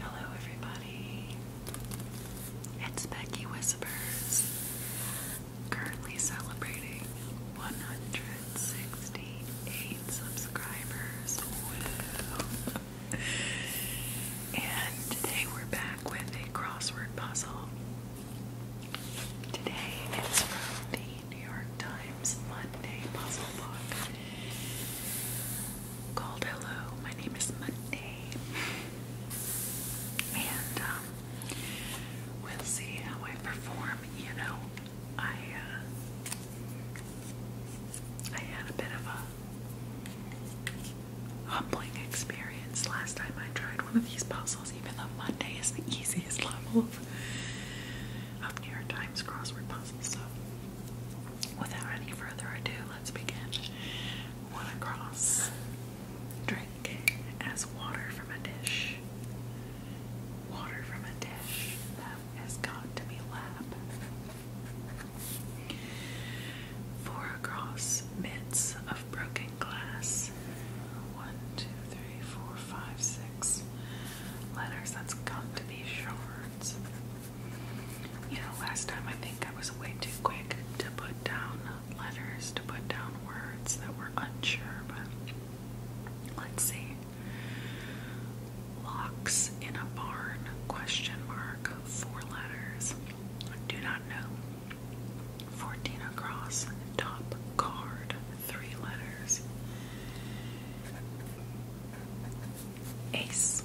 Hello, everybody. It's Becky Whispers, currently celebrating 168 subscribers. And today we're back with a crossword puzzle. Today it's from the New York Times Monday Puzzle Book called Hello, My Name is Monday. And um, we'll see how I perform. You know, I uh, I had a bit of a humbling experience last time I tried one of these puzzles, even though Monday is the easiest level of, of New York Times crossword puzzles. So, without any further ado, let's begin. One across. Drink as water from a dish. Water from a dish. That has got to be lab. Four across. Bits of broken glass. One, two, three, four, five, six. Letters, that's to be shards. You know, last time I think I was way too quick to put down letters, to put down words that were unsure, but let's see. Locks in a barn question mark four letters. Do not know. 14 across top card three letters. Ace.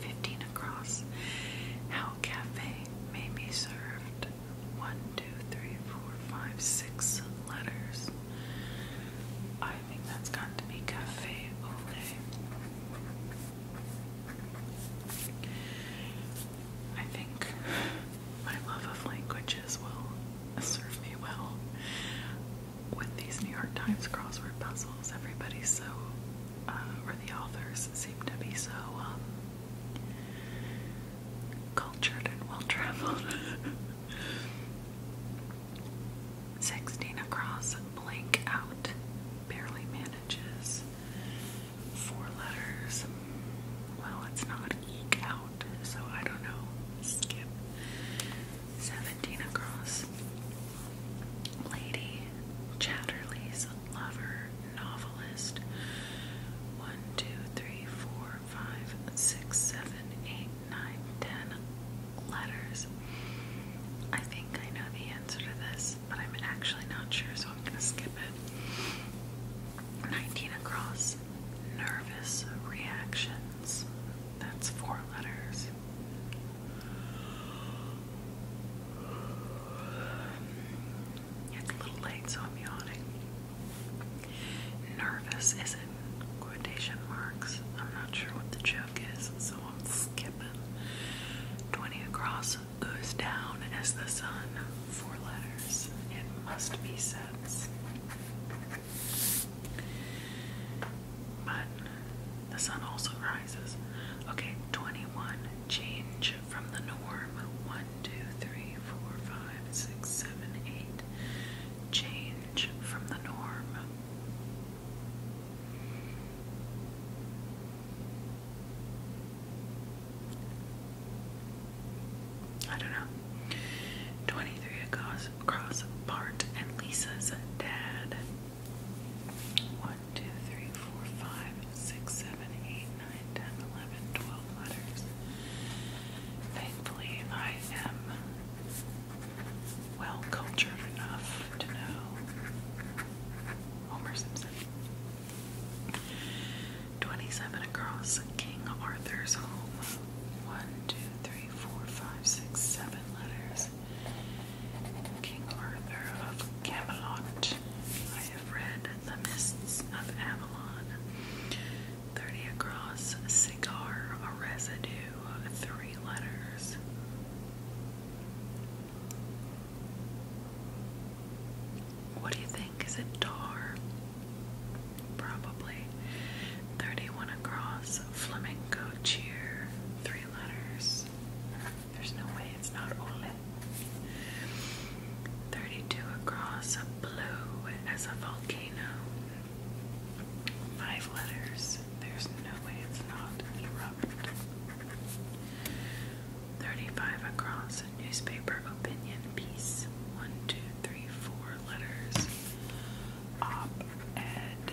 15 across. How Cafe may be served. 1, letters. I think that's got to be Cafe Ole. think my love of languages will serve me well with these New York Times crossword puzzles, everybody's so, uh, or the authors seem to be so um, cultured and well traveled. 16 across, blank out, barely manages. Four letters. Well, it's not eke out, so I don't know. Skip. 17 across. Lady Chatterley's lover, novelist. 1, 2, 3, 4, 5, 6, 7, 8, 9, 10 letters. I think I know the answer to this, but I'm actually not sure, so I'm going to skip it. 19 across. Nervous reactions. That's four letters. It's a little late, so I'm yawning. Nervous is in quotation marks. I'm not sure what the joke is, so I'm skipping. 20 across goes down as the sun. Four letters. It must be sets. But the sun also rises. Okay, 21. Change from the norm. 1, Change from the norm. I don't know. 23, it goes across Bart and Lisa's dad. One, two, three, four, five, six, seven, eight, nine, ten, eleven, twelve letters. Thankfully, I am well cultured enough to know Homer Simpson. 27 across King Arthur's home. One, two, three, four, five, six, seven letters. King Arthur of Camelot. I have read The Mists of Avalon. Thirty across, cigar, a residue, three letters. What do you think? Is it tar? Probably. 31 across, flamingo cheer, three letters. There's no way it's not ole. 32 across, blue as a volcano. Five letters. There's no way it's not erupt. 35 across, newspaper opinion piece. One, two, three, four letters. Op ed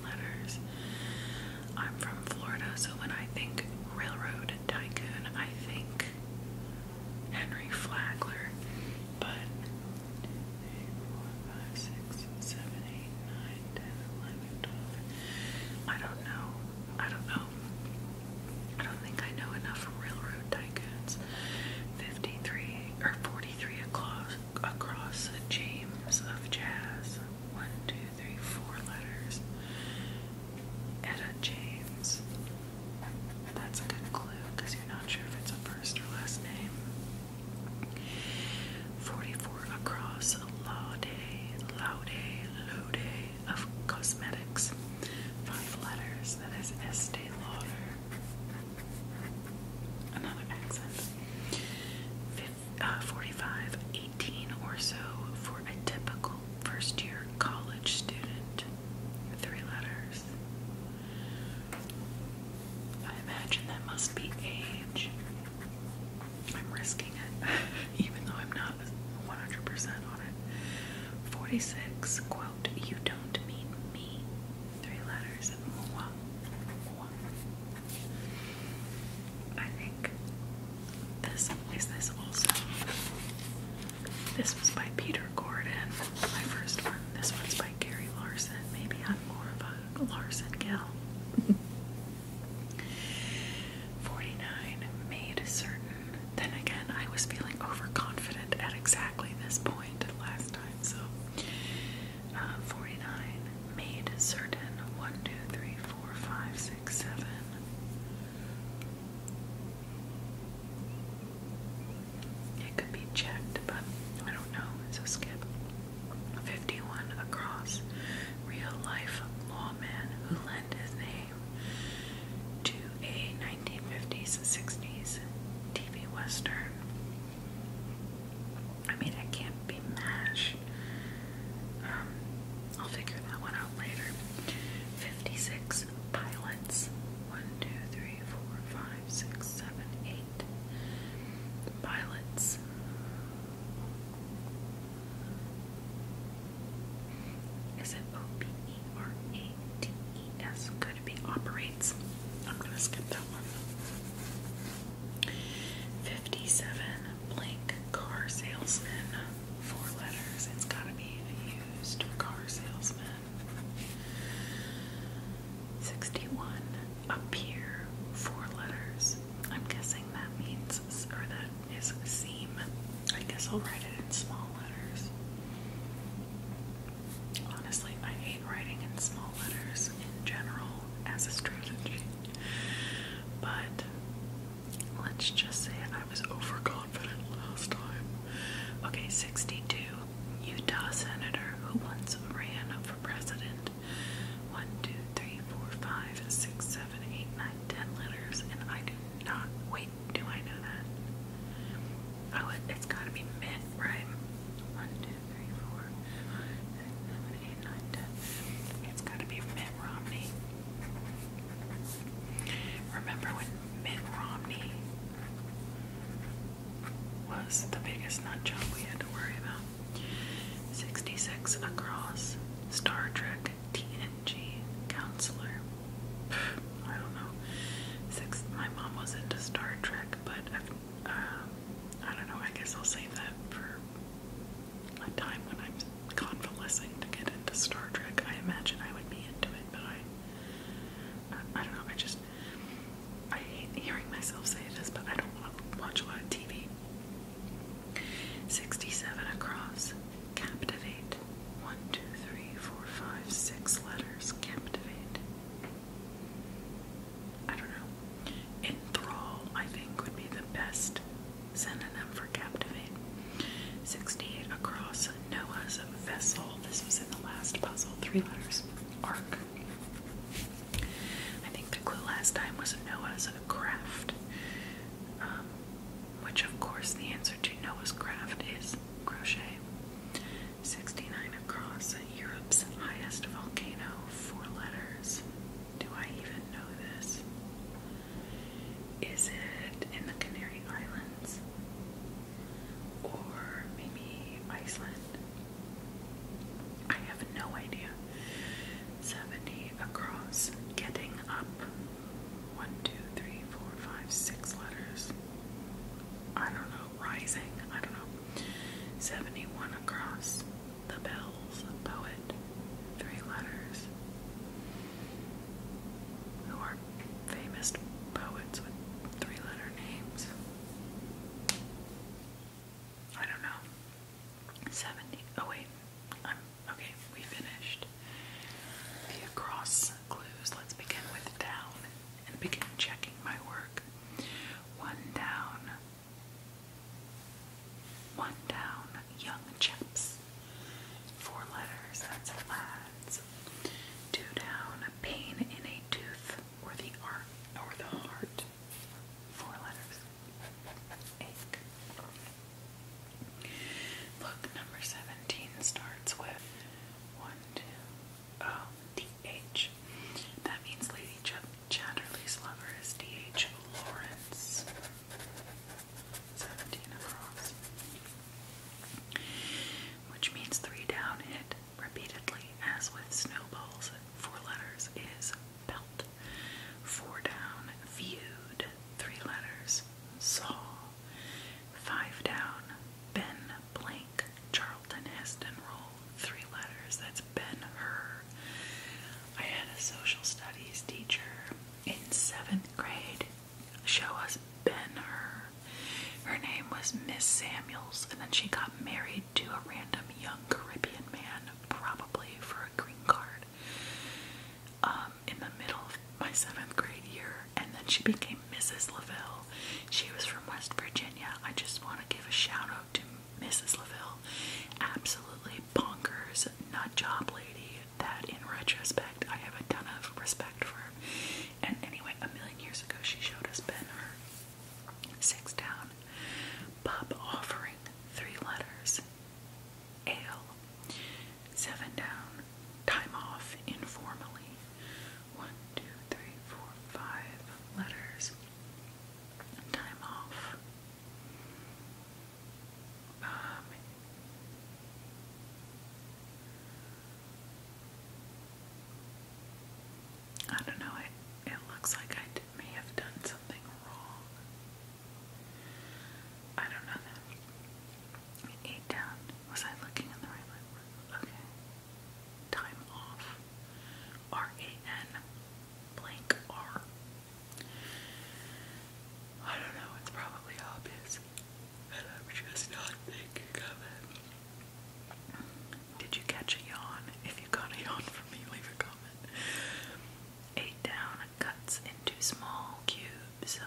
letters. I'm from Florida, so when I think railroad tycoon, I think Henry Flagler. But I don't know. I don't know. I don't think I know enough railroad tycoons. 53 or 43 across, across James of Jazz. 1, 2, three, four letters. Etta James. That's a good clue because you're not sure if it's a first or last name. 44 across Laude, Laude, Laude of Cosmetics. Five letters. That is Estee Lauder. Another accent uh, 45, 18 or so for a typical first year college student. Three letters. I imagine that must be age. I'm risking it, even though I'm not 100% on it. 46, quote, you don't mean me. Three letters, Wow. I think this is this also. This was by Peter Gordon, my first one. This one's by Gary Larson. Maybe I'm more of a Larson gal. 49 made certain. Then again, I was feeling overconfident at exactly this point last time, so. Uh, 49 made certain. 1, four, five, six, seven. It could be checked, but I don't know. It's skip. 51 across. Real life lawman who lent his name to a 1950s and 60s TV Western. I mean, it can't be MASH. Um, I'll figure that one out later. 56 pilots. 1, Pilots. Is it O B E R A T E S? Could it be operates? I'm gonna skip that one. 57 blank car salesman. Four letters. It's got to be a used car salesman. 61 up here. Four letters. I'm guessing that means, or that is seam. I guess I'll write it in small letters. Honestly, I hate writing in small letters in general as a strategy. But let's just say I was overconfident last time. Okay, 62. Utah senator who once ran for president. 1, 2, 3, 4, 5, 6, 7, 8, 9, 10 letters, and I do not. Wait, do I know that? Oh, it, it's gotta be mint, right? 1, seven, eight, nine, ten. It's got to be Mitt Romney. Remember when Mitt Romney was the biggest nut job we had to worry about? 66 across, Star Trek TNG counselor. I don't know. Six. My mom was into Star Trek, but uh, I don't know. I guess I'll save that for a time when I'm convalescing to get into Star Trek. I imagine I would be into it, but I, I, don't know. I just, I hate hearing myself say this, but I don't want to watch a lot of TV. 67 across. Captivate. One, two, three, four, five, six letters. Captivate. I don't know. Enthrall, I think, would be the best synonym for captivate. 68 across Noah's vessel. This was in the last puzzle, three letters. Ark. I think the clue last time was Noah's craft, um, which of course the answer to Noah's craft is crochet. 69 across Europe's highest volcano, four letters. Do I even know this? Is it in the Canary Islands? Or maybe Iceland? I have no idea. 70 across, getting up. 1, 2, 3, 4, 5, 6 letters. I don't know, rising, I don't know. 71 across. The Bells, poet, three letters, who are famous poets with three letter names. I don't know. 70. Oh, wait. I'm okay. We finished the across clues. Let's begin with down and begin checking my work. One down. One down, young chaps. Four letters, that's lads. Two down, pain in a tooth or the art or the heart. Four letters. Ache. Look, number 17 starts with one, two, oh, D H. That means lady chip. Chatterley's lover is D.H. Lawrence, 17 across, which means three down hit repeatedly, as with snowballs, four letters is belt, four down viewed, three letters saw, five down Ben blank Charlton Heston roll, three letters, that's Ben Hur. I had a social studies teacher in seventh grade show us Ben Hur. Her name was Miss Samuels, and then she got married to a random young Caribbean man, probably for a green card, um, in the middle of my seventh grade year, and then she became Mrs. LaVille. She was from West Virginia. I just want to give a shout out to Mrs. LaVille, absolutely bonkers nut job lady that in retrospect I have a ton of respect for. And anyway, a million years ago she showed us Ben her six down pub offering three letters ale seven down time off informally one two three four five letters time off um, I don't know, it, it looks like I may have done something wrong. I don't know Eight down. Was I looking in the right one? Okay. Time off. R A N blank R I don't know, it's probably obvious, and I'm just not thinking of it. Did you catch a yawn? If you got a yawn from me, leave a comment. Eight down cuts into small cubes.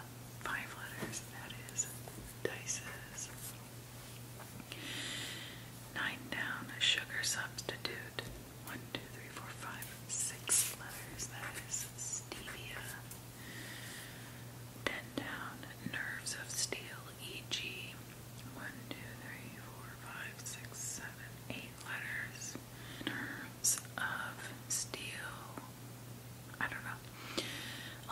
Five letters, that is, dices. Nine down, a sugar substitute. One, two, three, four, five, six letters. That is stevia. Ten down. Nerves of steel, e.g. One, two, three, four, five, six, seven, eight letters. Nerves of steel. I don't know.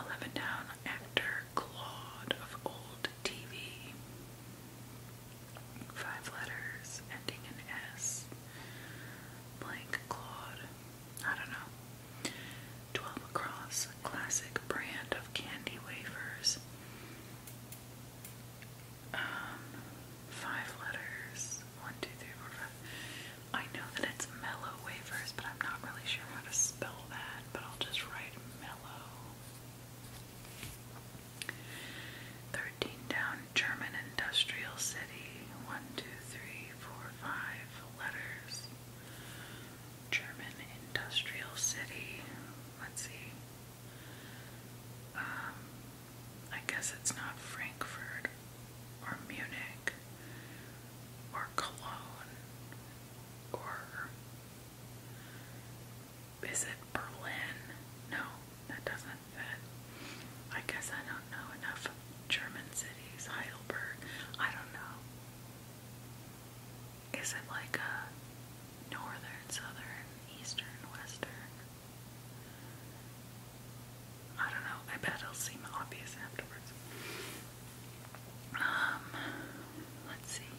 Eleven down. Actor Claude of old TV five letters ending in S, blank Claude, I don't know, 12 across, classic brand of candy wafers, um, five letters, one, two, three, four, five, I know that it's mellow wafers, but I'm not really sure how to spell that, but I'll just write mellow. Thirteen down, German industrial city. One, two, three, four, five letters. German industrial city. Let's see. Um, I guess it's not Frankfurt or Munich or Cologne or is it Berlin? No, that doesn't fit. I guess I don't know enough German cities. Heidelberg, I don't know. Is it like a northern, southern, eastern, western? I don't know. I bet it'll seem obvious afterwards. Um, let's see.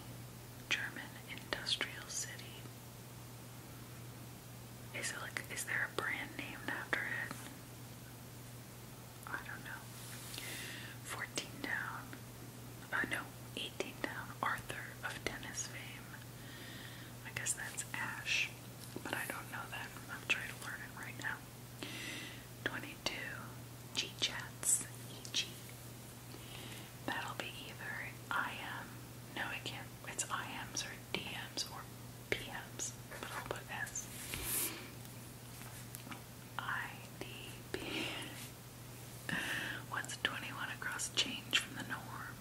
German industrial city. Is it like is there a brand named after it? I don't know. Fourteen down. Uh no, eighteen down. Arthur of tennis fame. I guess that's Ash. But I don't know that. I'm trying to learn it right now. 22. G Chats. E G. That'll be either I am, no it can't, it's IMs or DMs or PMs, but I'll put S. What's 21 across change from the norm?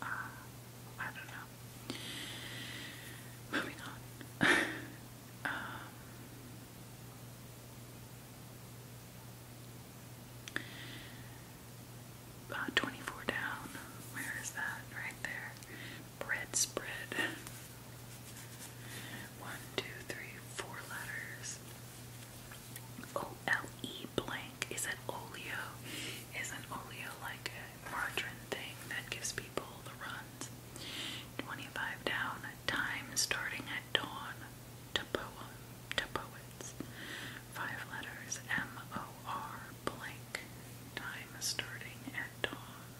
Uh, I don't know. Moving on. Um, uh, 24 down. Where is that? Right there. Bread spread. One, two, three, four letters. O L E blank. Is that oleo? Isn't oleo like a margarine thing that gives people the runs? 25 down. Time starting at dawn to poets. Five letters M O R blank. Time starting at dawn.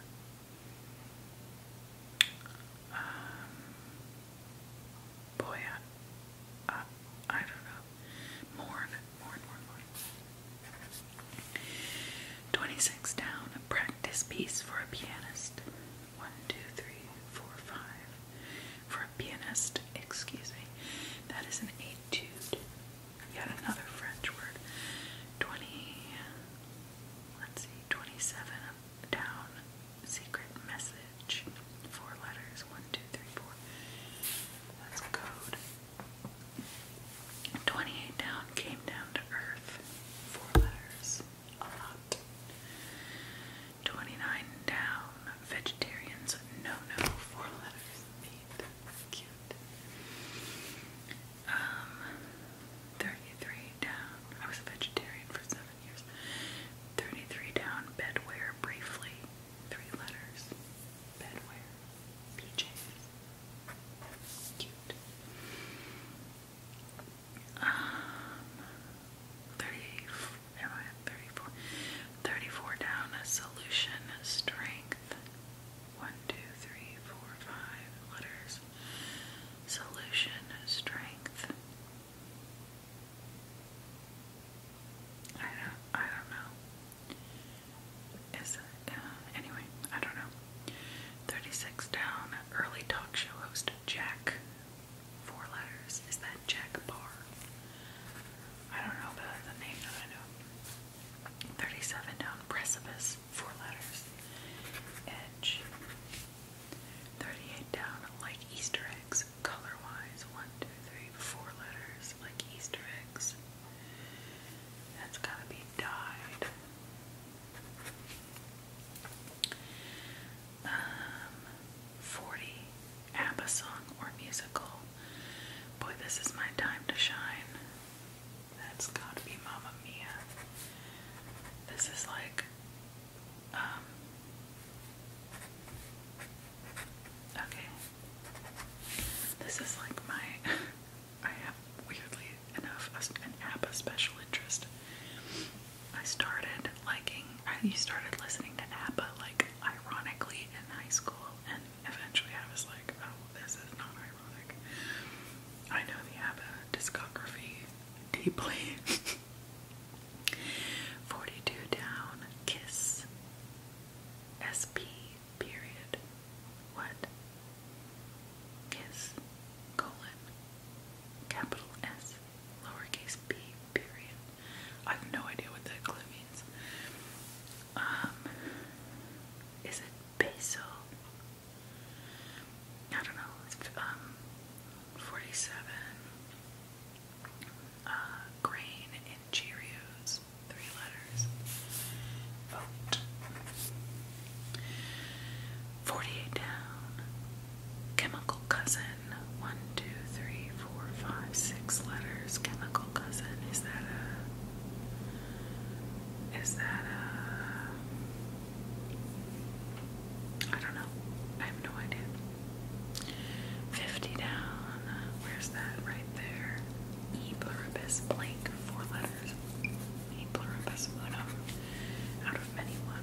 Um, boy, I, don't know. Mourn, mourn, mourn, mourn. 26 down. A Practice piece for a pianist one, two, three, four, five. For a pianist, excuse me, that is an etude. Yet another French word. Twenty. Let's see, twenty-seven down. Secret message. Four letters. One, two, three, four. That's code. Twenty-eight down. Came down to earth. Four letters. 29 down, vegetarians, no, no, four letters, cute. Um, 33 down, I was a vegetarian for seven years. 33 down, bedwear, briefly, three letters, bedwear, PJs, cute um, 30, am I 34? 34 down, solution, strength, 1, letters, solution, strength, I don't, I don't know, is it, uh, anyway, I don't know, 36 down, early talk show host, Jack, four letters, is that Jack Barr? I don't know, but the name that I know. 37 down, precipice, four letters, edge. 38 down, like Easter eggs, color wise, one, two, three, four letters, like Easter eggs. That's gotta be dyed um, 40 ABBA song or musical. Boy, this is my time to shine. That's gotta be Mama Mia. This is like, um, okay. This is like my, I have weirdly enough an ABBA special interest. I started liking, You started listening to ABBA like ironically in high school, and eventually I was like, oh, this is not ironic. I know the ABBA discography deeply. 42 down, kiss, SP, period. What? Kiss, colon, capital S, lowercase b period. I have no idea what that clue means. Um, is it basil? I don't know. um, 47. Uh, grain in Cheerios. Three letters. Vote. 48 down. Chemical cousin. One, two, three, four, five, six letters. Chemical cousin. Is that a. Is that a. I don't know. I have no idea. 50 down. Where's that? Right there. E pluribus blank. Four letters. E pluribus unum. Out of many one.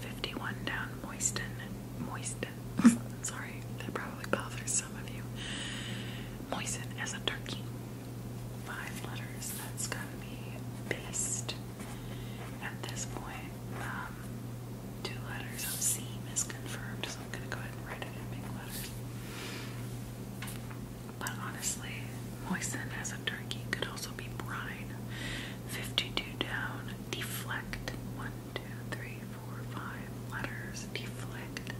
51 down Moisten. Moisten. Sorry, that probably bothers some of you. Moisten as a turkey. Five letters. That's gotta be based. At this um, two letters of C is confirmed, so I'm gonna go ahead and write it in big letters. But honestly, moisten as a turkey could also be brine. 52 down, deflect. One, two, three, four, five letters, deflect.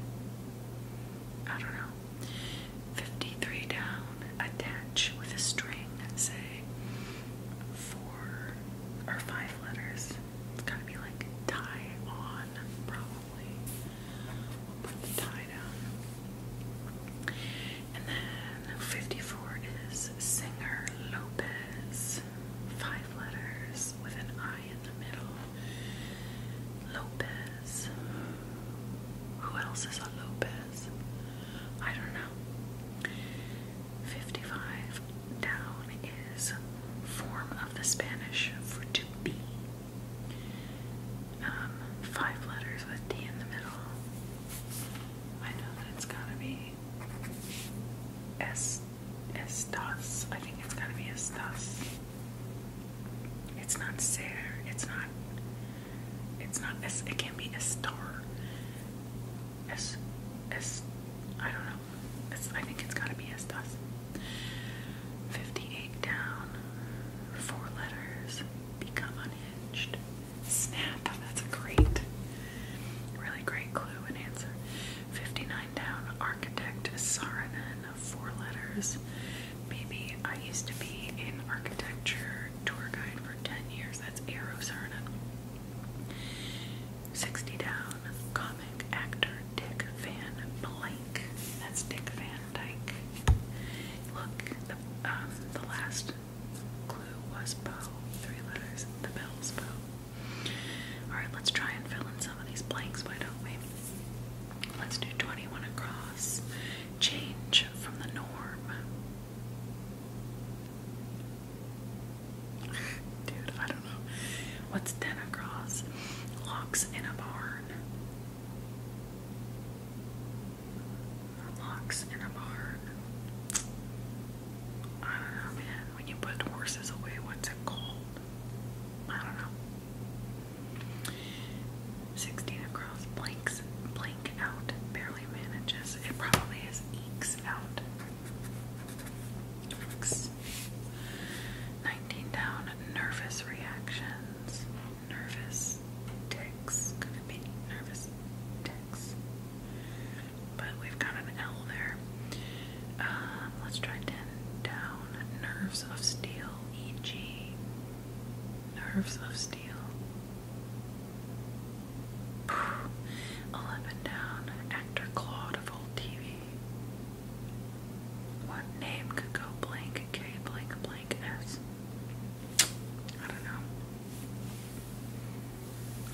I don't know. 53 down, attach with a string, say four or five letters. It's gotta be like tie on, probably. We'll put the tie down. And then 54 is Singer Lopez. Five letters with an I in the middle. Lopez. Who else is a Lopez? I don't know. 55 down is form of the Spanish for to be. Um, five letters with D in the middle. I know that it's gotta be es think it's gotta be estas. It's not ser. It's not. It's not. Es, it can be estar. Es es. I don't know. Es, I think it's gotta be estas. Fifty-eight down. Four letters. Become unhinged. Snap. That's a great, really great clue and answer. 59 down. Architect Saarinen. Four letters. Maybe I used to be in architecture tour guide for 10 years. That's Aero Saarinen. 60 down. Comic actor Dick Van Blank. That's Dick Van Dyke. Look, the um, last Clue was Poe. Three letters. The bell's bow. Alright, let's try and fill in some of these blanks, why don't we? Let's do 21 across. Change from the norm. Dude, I don't know. What's 10 across? Locks in a barn locks in a bar. I don't know, man. When you put horses away, what's it called? I don't know. 16 across, blanks, blank out, barely manages. It probably is eeks out. Eeks. 19 down, nervous reactions nervous ticks. Could it be nervous ticks? But we've got an L there. Um, let's try 10 down. Nerves of steel, e.g., nerves of steel. 11 down. Actor Claude of old TV. What name could go blank K blank blank S? I don't know.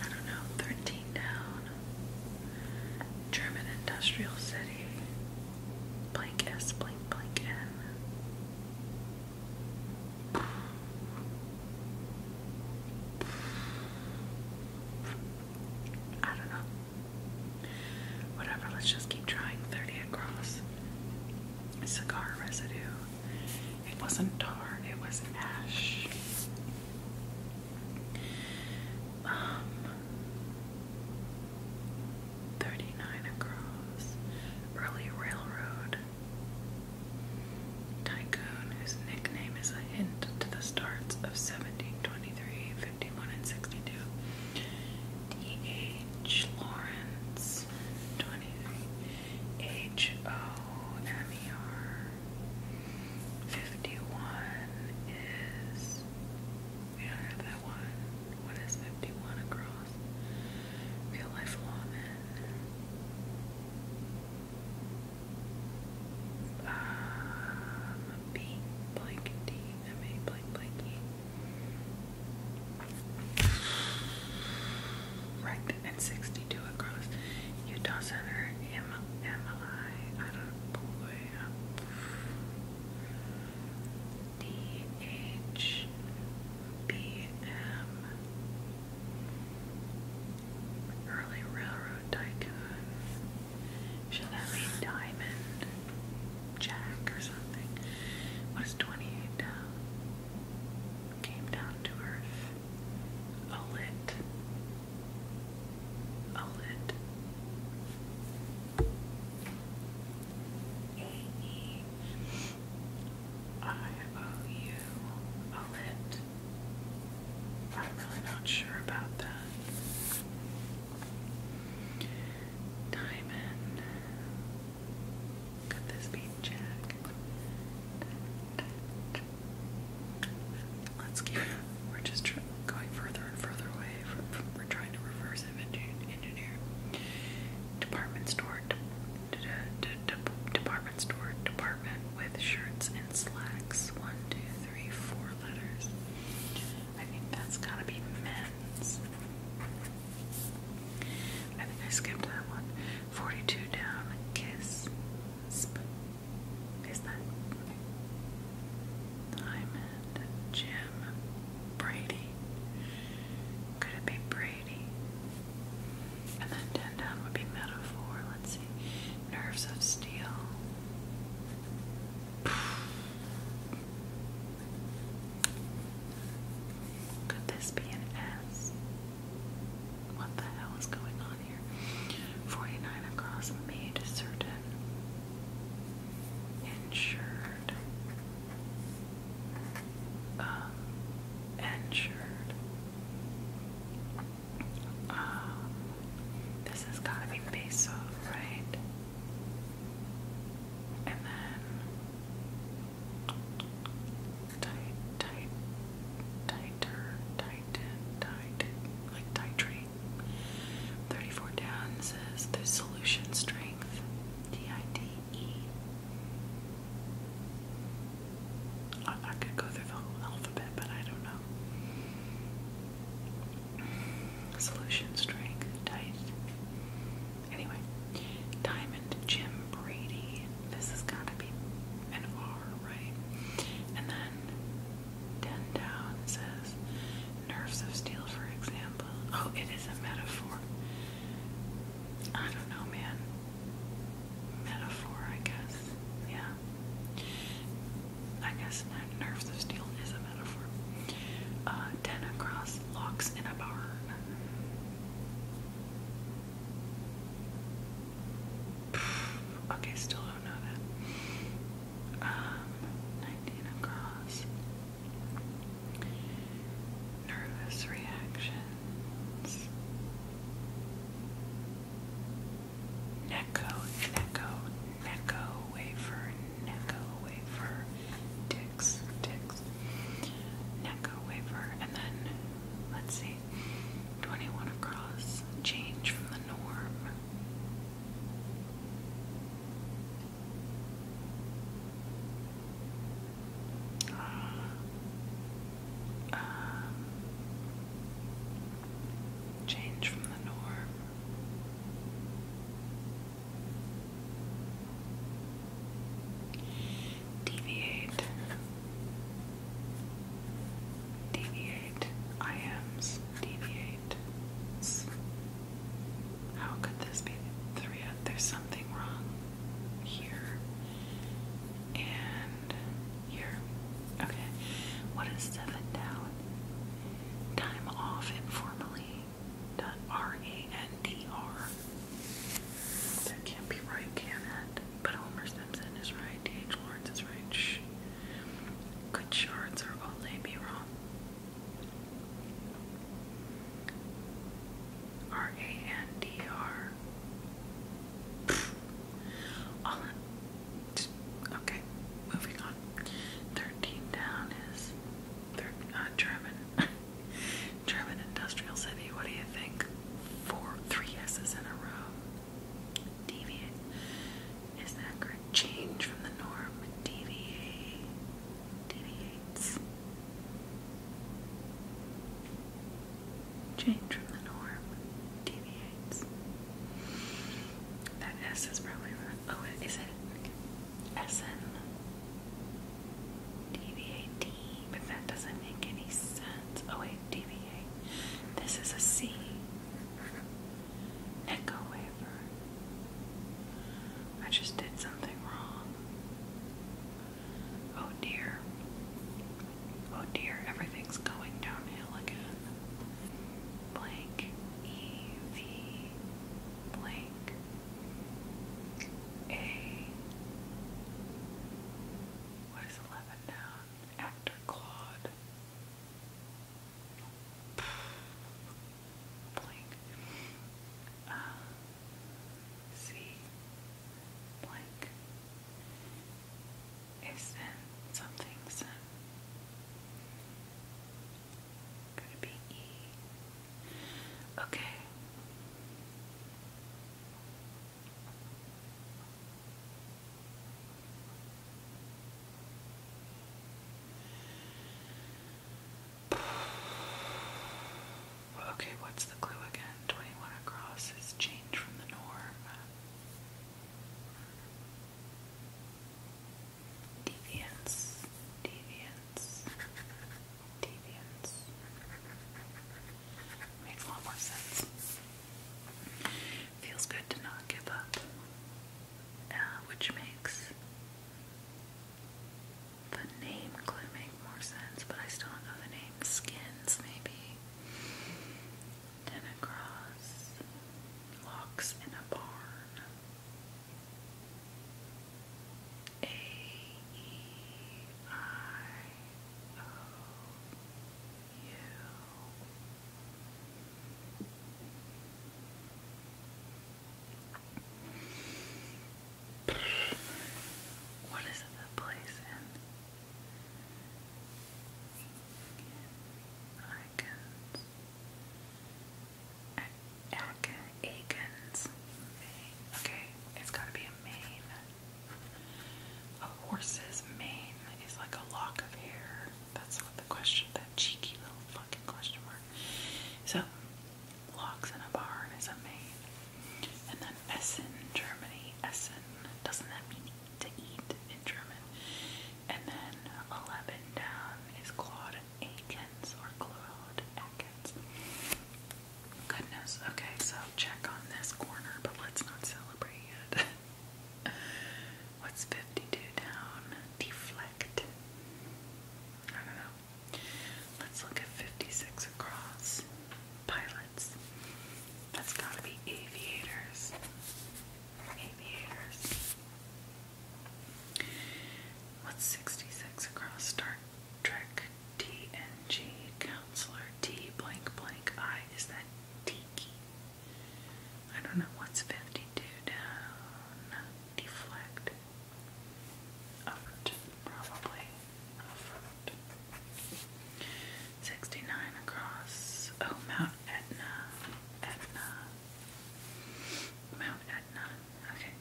I don't know. 13 down. German industrial city. Blank S, blank, blank N. I don't know. Whatever, let's just keep trying. 30 across. Cigar residue. It wasn't tar, it was ash. Um, 39 across. Early railroad. Tycoon, whose nickname is a hint to the starts of 1723, and 62. D.H. Lawrence, 23. H O M E R. 51 is. We don't have that one. What is 51 across? Real life lawman. Um, B, blank, D, M, A, blank, blank, Right, and 62 across. Utah Center, MLI. I do DHBM. Early Railroad Tycoon. Should that be Diamond Jack or something? What is 28 down? came down to earth. A lit. A lit. A-E. I-O-U. A lit. I'm really not sure about that. Diamond. Could this be Jack? Let's keep. We're just going further and further away. we're trying to reverse engineer. Department store. department store. Department with shirts and slacks. One, two, three, four letters. I think that's gotta be men's. I think I skipped that one. 42 down, kiss. is that? Diamond, Jim, Brady. Could it be Brady? And then 10 down would be metaphor. Let's see. Nerves of steel. Could this be an S? What the hell is going on here? 49 across made certain insured um insured um this has gotta be base off, right? And then tight, tight, tighter, tighten, tighten, like titrate. 34 down says the solution strength, D-I-D-E. I, I could go through the whole alphabet, but I don't know. Solution strength, tight. Anyway, Diamond Jim Brady. This has got to be an R, right? And then ten down says nerves of steel, for example. Oh, it is a metaphor. I don't know, man. Metaphor, I guess. Yeah. I guess nerves of steel is a metaphor. Uh, ten across locks in a barn. Okay, still don't know that. Um, 19 across. Nervous reactions. Necco, Necco, Necco wafer, Necco wafer ticks, ticks. Necco wafer, and then let's see, 21 across, change from the norm. Uh, um, change from the norm. Deviate. Deviate. Iams. Deviate. How could this be three? There's something wrong here and here. Okay. What is seven down? Time off informally. Done. R A N D R. That can't be right, can it? But Homer Simpson is right. D.H. Lawrence is right. Good Could Shards or Ole be wrong? R A N D R. okay, moving on. Thirteen down is uh, German. German industrial city. What do you think? Four, three S's in a row. Deviate. Is that correct? Change from the norm. Deviates. Change from the norm. Deviates. That S is probably wrong. Oh, is it? SN. DVA but that doesn't make any sense. Oh wait, DVA. This is a C. Echo wafer. I just did something wrong. Oh dear. Oh dear, everything's going downhill again. Blank, E, V, blank, a. What is 11 noun? Actor Claude. Blank. Uh, C. Blank. A sin. Something sin. Could it be E? Okay. Okay, what's the clue again? 21 across is change from the norm. Deviance, deviance deviance. Makes a lot more sense. Feels good to not give up, uh, which makes the name clue make more sense, but I still don't know the name. Skins, maybe. Ten across. Locks in a barn. A E I O U. What is that plays in? Icons. A Okay, it's gotta be a Maine a horse's mane is like a lock of hair. That's what the question, that cheeky little fucking question mark. So, locks in a barn is a mane. And then Essen, Germany. Essen, doesn't that mean to eat in German? And then 11 down is Claude Akins or Claude Atkins. Goodness. Okay, so check on this corner, but let's not celebrate yet. What's 52 down? Deflect. I don't know. Let's look at 56 across. Pilots. That's gotta be aviators. Aviators. What's 66 across? Star Trek T N G Counselor T blank blank I is that Tiki? I don't know what's fifty two down. Deflect. Effort, probably. Effort. Sixty nine across. Oh, Mount Etna. Etna. Mount Etna. Okay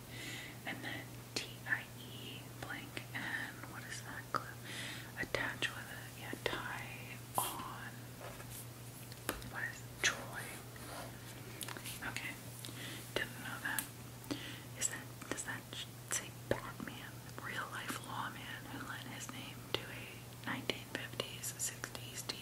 and then T-I-E blank and what is that glue? Attach with it, yeah, tie on. What is Troy? Okay, didn't know that. Is that does that say Batman, real life lawman who lent his name to a 1950s, 60s TV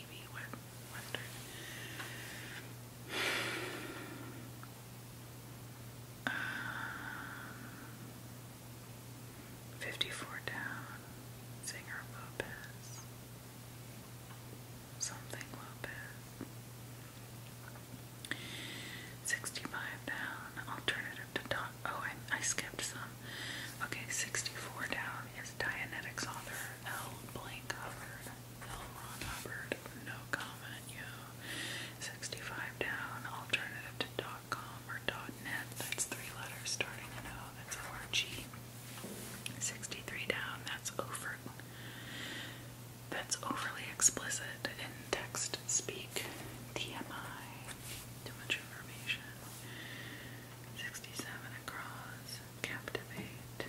Fifty-four down, Singer Lopez, something Lopez. Sixty-five down, alternative to Oh, I, skipped some. Okay, sixty-four down is Dianetics author L. Blank L. Ron Hubbard. No comment, yo. 65 down, alternative to .com or .net, that's three letters starting in O, that's O-R-G. 63 down, that's overt. That's overly explicit in text speak. TMI, too much information. 67 across, captivate.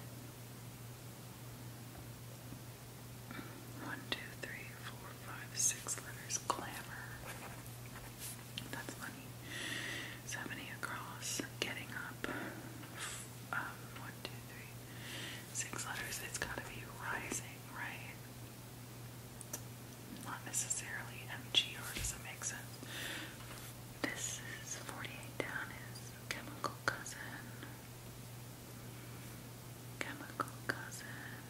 One, two, three, four, five, six letters. Clamor. That's funny. So across. Getting up. Um, one, two, three, six letters. It's gotta be rising, right? Not necessarily MG, or does that make sense? This is 48 down is chemical cousin. Chemical cousin.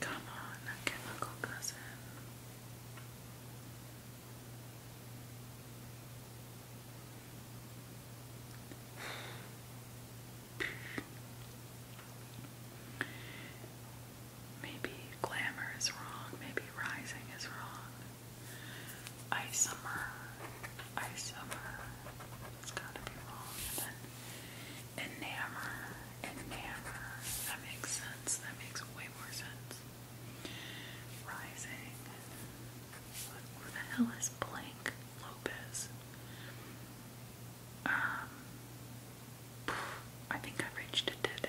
Come on, a chemical cousin. Maybe glamour is wrong. Maybe rising is wrong. Isomer. Isomer. It's gotta be wrong. enamor. Enamor. That makes sense. That makes way more sense. Rising. Who the hell is Blank Lopez? Um, I think I reached a dead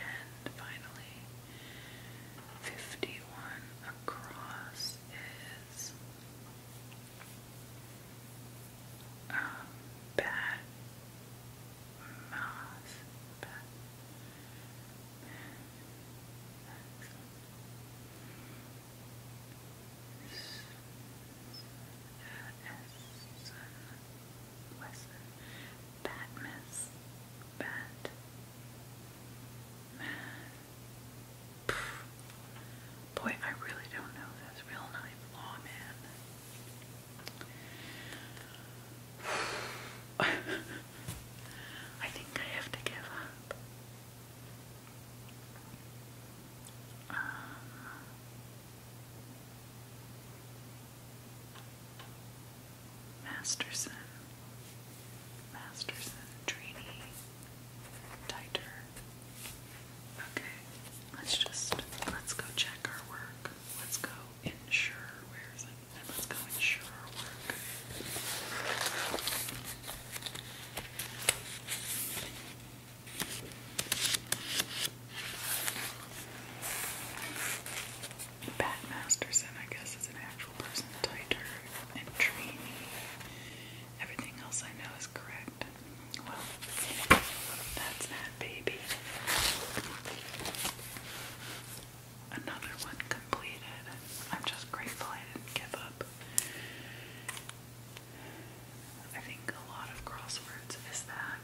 end finally. 51 across is um, bad mouth. Bad. Wesson, Batmas, Bat, Pff. Boy, I really don't know this real life lawman. I think I have to give up. Um, Masterson, Masterson, Trini, Titer. Okay, let's just let's go check our work. Let's go ensure where is it? let's go ensure our work. Pat Masterson, I guess, is an actual person, tighter and trainee. Everything else I know is correct. Well, that's that, baby. Another one completed. I'm just grateful I didn't give up. I think a lot of crosswords is that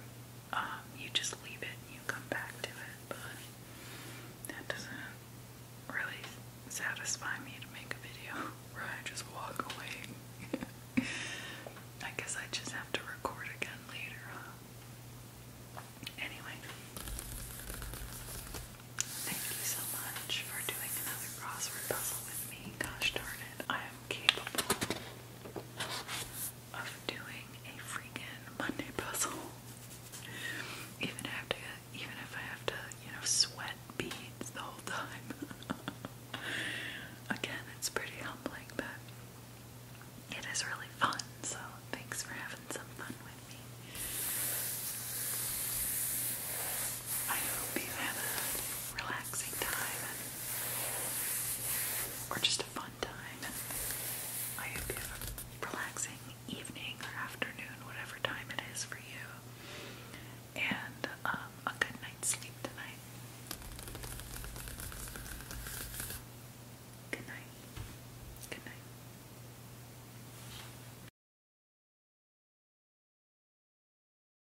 um, you just leave it and you come back to it, but that doesn't really satisfy me to make a video where just walk away. I guess I just have to record again later, Anyway, thank you so much for doing another crossword puzzle with me. Gosh darn it, I'm capable of doing a freaking Monday puzzle. Even after, even if I have to, you know, sweat beads the whole time. Again, it's pretty humbling, but it is really fun. So thanks for having some fun with me. I hope you have a relaxing time or just a fun time. I hope you have a relaxing evening or afternoon, whatever time it is for you. And um, a good night's sleep tonight. Good night. Good night.